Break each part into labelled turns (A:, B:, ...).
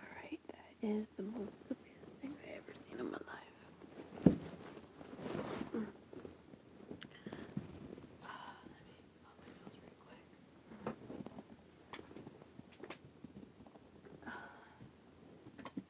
A: Alright, that is the most stupidest thing I've ever seen in my life. Mm. Ah,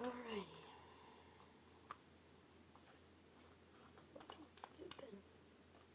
A: All right. That's fucking stupid.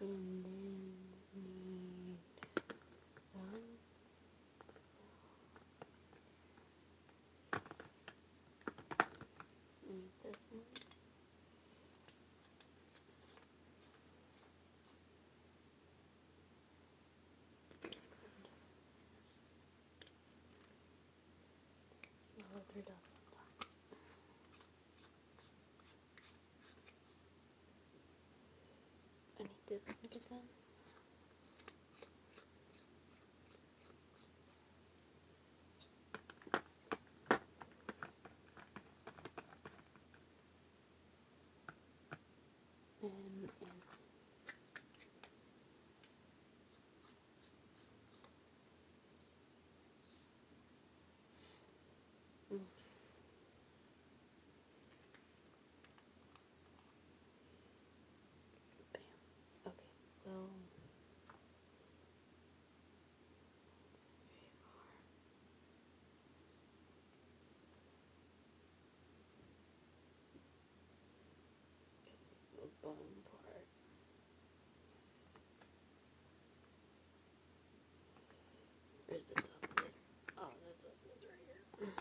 A: and then we some need this one Excellent. Yellow three dots I need this one to get and mm. Bam. Okay, so the bone part. Where's the top Oh, that's up right here. here. Boom.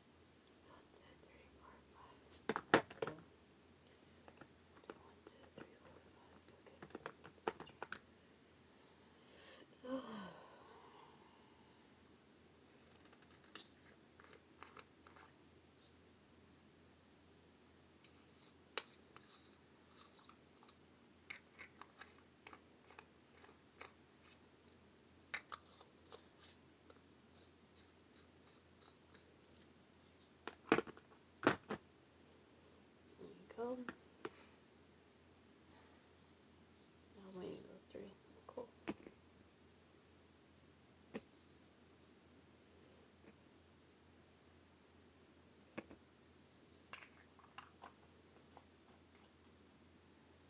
A: One, two, three, four, five. One, two, three, four, five. Okay. Oh go. Now I'm those three. Cool.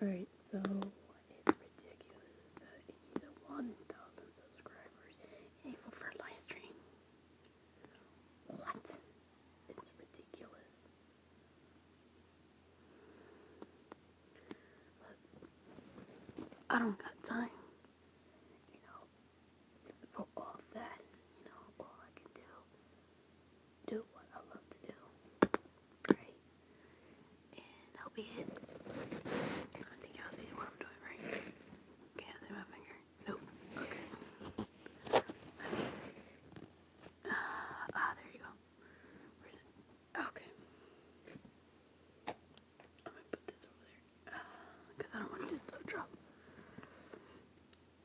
A: Alright, so what is ridiculous is that it needs a 1,000 subscribers enabled for live stream. What? It's ridiculous. I don't got time. You know, for all that, you know, all I can do do what I love to do. Right? And I'll be it. I not think y'all see what I'm doing, right? Can't see my finger. Nope. Okay. ah, there you go. Where's it? Okay. I'm gonna put this over there. Because ah, I don't want this to drop.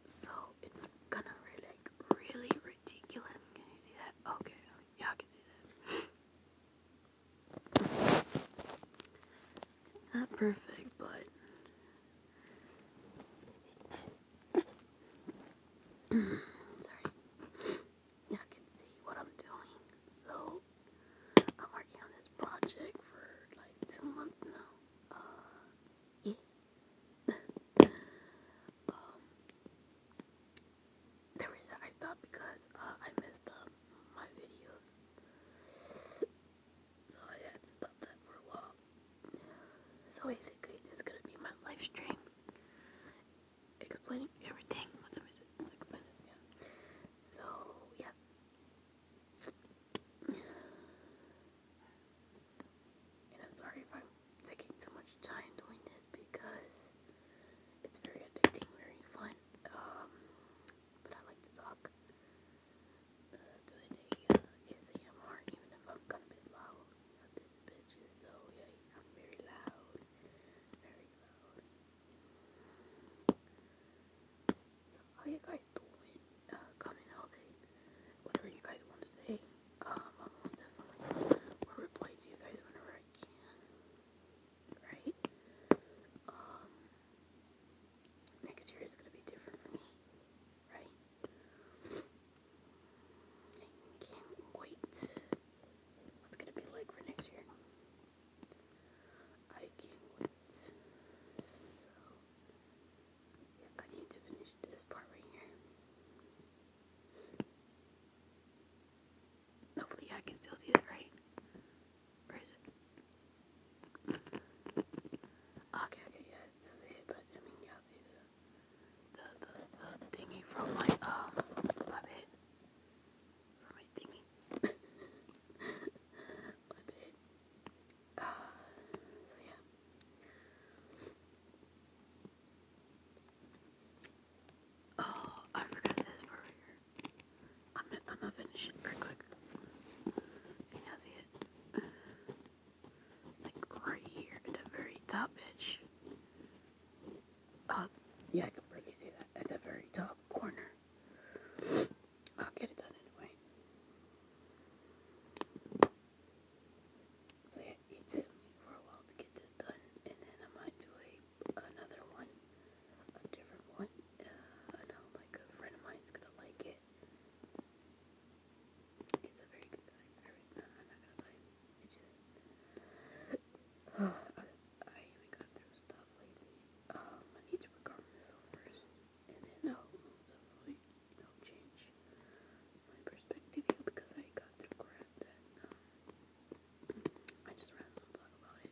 A: So it's gonna really, really, really ridiculous. Can you see that? Okay, y'all can see that. It's not perfect, but. Sorry. Y'all can see what I'm doing. So, I'm working on this project for like two months now. Uh, um, the reason I stopped because uh, I messed my videos, so I had to stop that for a while. So basically, this is gonna be my live stream explaining everything. What time is it? Let's explain So yeah. And I'm sorry if I'm taking so much time doing this because it's very addicting, very fun. Um, but I like to talk uh, doing ASMR, uh, even if I'm kind of bit loud. I did bitches, so yeah, I'm very loud, very loud. So how you guys doing? Uh, comment all day, whatever you guys want to say. Um, almost definitely will reply to you guys whenever I can. Right? Um, next year is gonna be different for me. Right? can't wait. What's gonna be like for next year? I can't wait. So, I need to finish this part right here. Hopefully I can still see that, right? Where is it? Okay, okay, yeah, I still see it, but I mean, y'all see the, the, the, the from my, um, my bed. From my thingy. my bed. Uh, so yeah. Oh, I forgot this right here. I'm gonna, I'm gonna finish it real quick. Can you see it? Like right here at the very top, bitch. Oh, yeah, I can barely see that at the very top corner. I'll get it done anyway. So yeah, it took me for a while to get this done, and then I might do a another one, a different one. Uh, I know like a friend of mine's gonna like it. It's a very good guy. I read, no, I'm not gonna lie. It just oh, I, was, I even got through stuff lately. Um, I need to recover myself first, and then I'll move stuff away change my perspective because I got regret that um, I just rather not talk about it.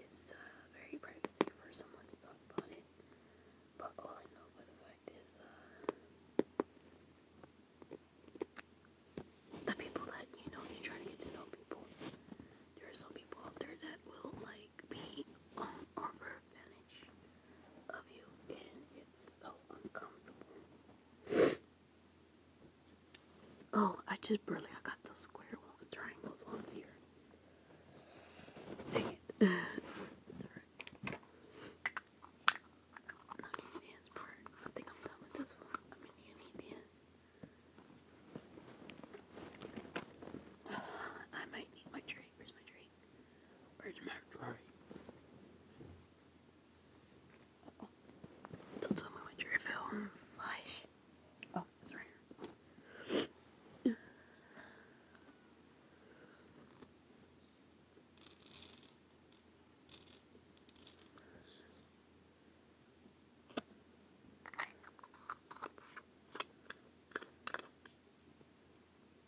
A: It's uh, very privacy for someone to talk about it, but all I know for the fact is uh, the people that you know, you try to get to know people. There are some people out there that will like be on our advantage oh, I just barely I got those square ones, triangles ones here. Dang it. Sorry. Not getting part. I think I'm done with this one. I mean, you I might need my tray. Where's my tray? Where's my trolley? Don't tell me what you're feeling. Mm, oh, it's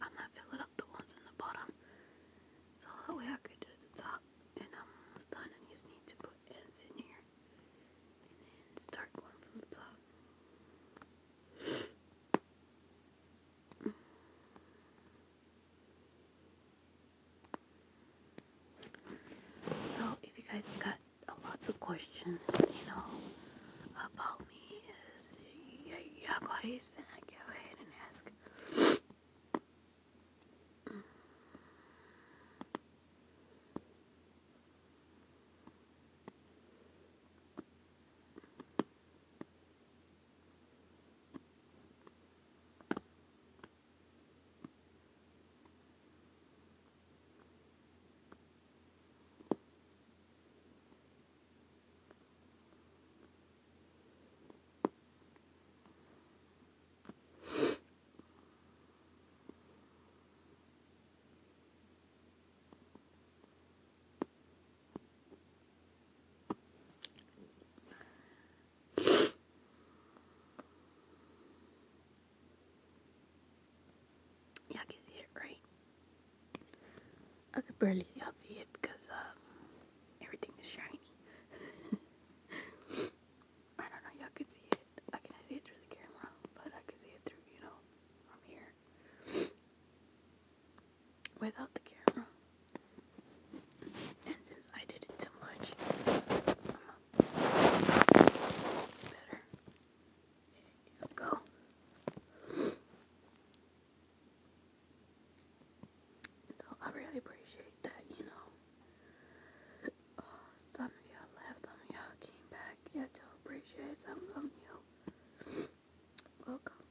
A: I'm gonna fill it up the ones in the bottom. So that way I could do the top and I'm almost done and just need to put ends in here. And start going from the top. So if you guys got a lots of questions, you know, about call me is y'all and go ahead and ask. Y'all can see it, right? I could barely y'all see it because um, everything is shiny. I don't know, y'all could see it. I can see it through the camera, but I could see it through, you know, from here. Without the camera. And since I did it too much, I'm it's better. There you go. So I really appreciate that, you know. Uh, some of y'all left, some of y'all came back. Yeah, to appreciate some of you. Welcome.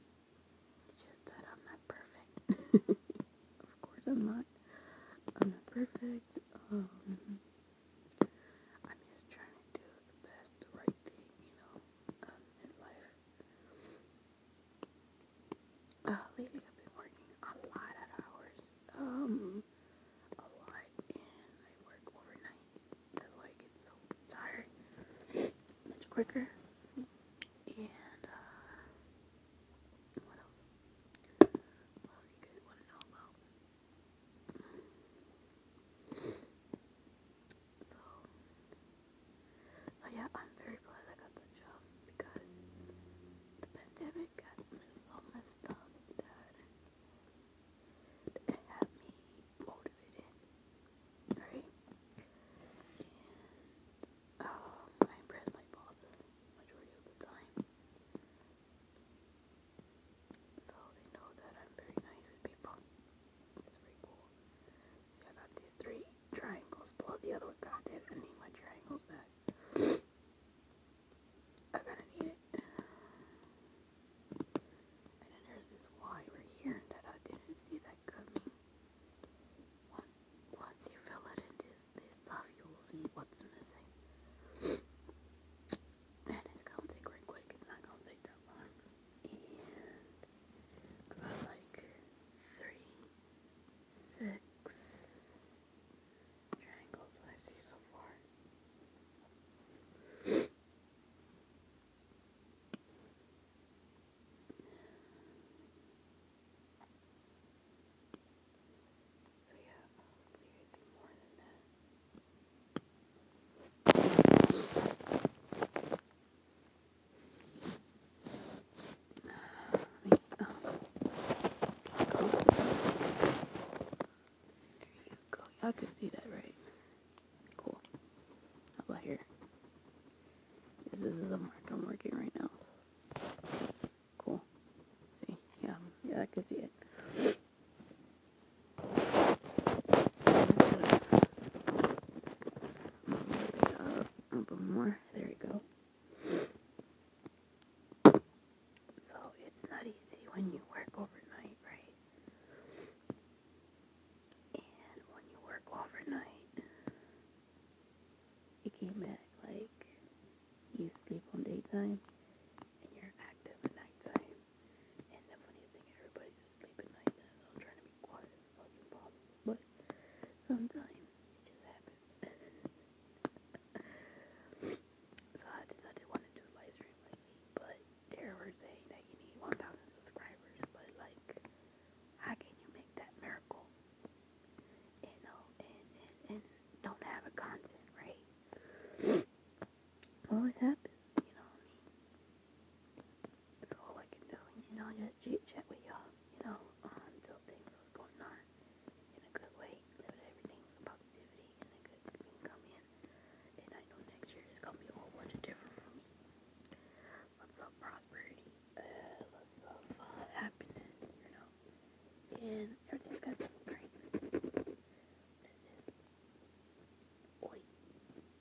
A: just that I'm not perfect. of course I'm not. I'm not perfect. Um, I'm just trying to do the best, right thing, you know in life. Uh, lately I've been working a lot of hours, um, a lot, and I work overnight. That's why I get so tired much quicker. And, uh, what else? What else you guys want to know about? So, so yeah, I'm very glad I got the job because the pandemic got me so messed up that it had me motivated, right? And um, I impressed my bosses majority of the time. So they know that I'm very nice with people. It's pretty cool. So I got these three triangles plus the other one. God damn, I need my triangles back. I gotta need it. And then there's this Y here that I didn't see that coming. Once once you fill it in this this stuff you will see what's missing. And it's gonna take right quick, it's not gonna take that long like three, six triangles I see so far. So yeah, probably um, see more than that. I can see that right. Cool. How here? This is the mark I'm working right now. Cool. See? Yeah, yeah, I could see it up more. There we go. So it's not easy when you work overnight, right? And when you work overnight, you came back like you sleep on daytime and you're active at nighttime. And the funniest thing, everybody's asleep at night time, so I'm trying to be quiet as fucking possible. But sometimes it just happens. so I decided to do a live
B: lately, but they were
A: saying that you need 1,000 subscribers, but like, how can you make that miracle? And, oh, and, and, and don't have a content, right? well, it happens, you know what I mean? all I can do, you know, just chit chat with y'all, you know, um, things what's going on in a good way, live everything positivity, and a good thing come in. And I know next year is gonna be a whole bunch of different for me. Lots of prosperity, uh, lots of uh, happiness, you know, and everything's gonna be great. What is this? Oi.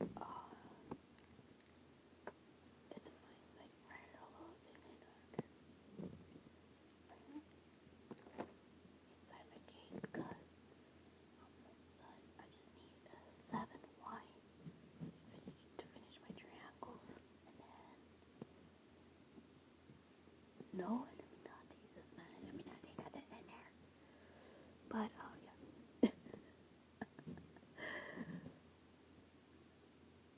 A: Uh, it's my like right elbow thing inside my case because I'm almost done. I just need a seven wide to finish my triangles and then no, I mean not Jesus, man. I mean not because it's in there. But oh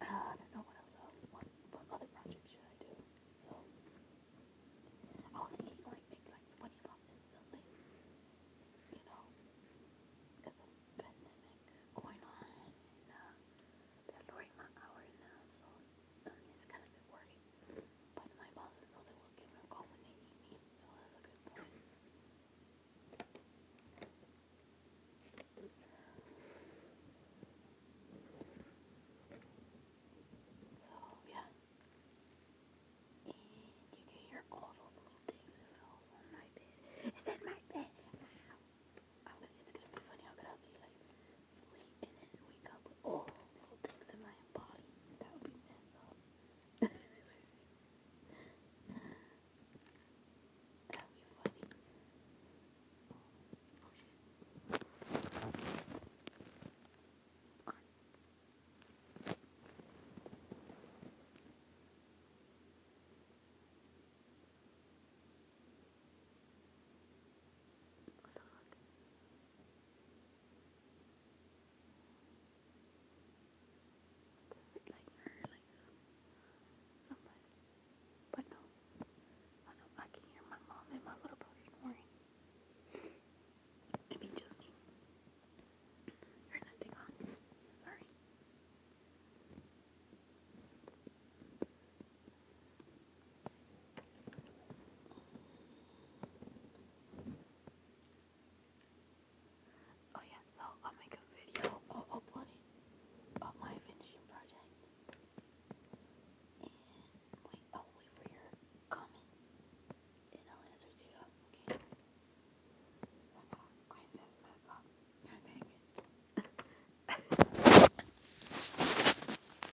A: uh, I don't know what else. Uh, what, what other project should I do? So I was thinking like maybe like twenty bucks is something, you know, because of pandemic going on uh, they're lowering my hour now, so um, it's kind of worrying. But my boss is only working from home me, so that's a good sign. So, yeah. And you can hear all those little things that falls on my bed. Is that my bed? I'm going it's gonna be funny. I'm gonna be like, sleep and then wake up with all little things in my body. That would be messed up. Like her, like some, somebody. But no, I know I can hear my mom and my little brother snoring. Maybe just me. Heard nothing on. Sorry. Oh yeah, so I'll make a video or upload it of my finishing project. And wait, I'll oh, wait for your comment. And I'll answer you, okay?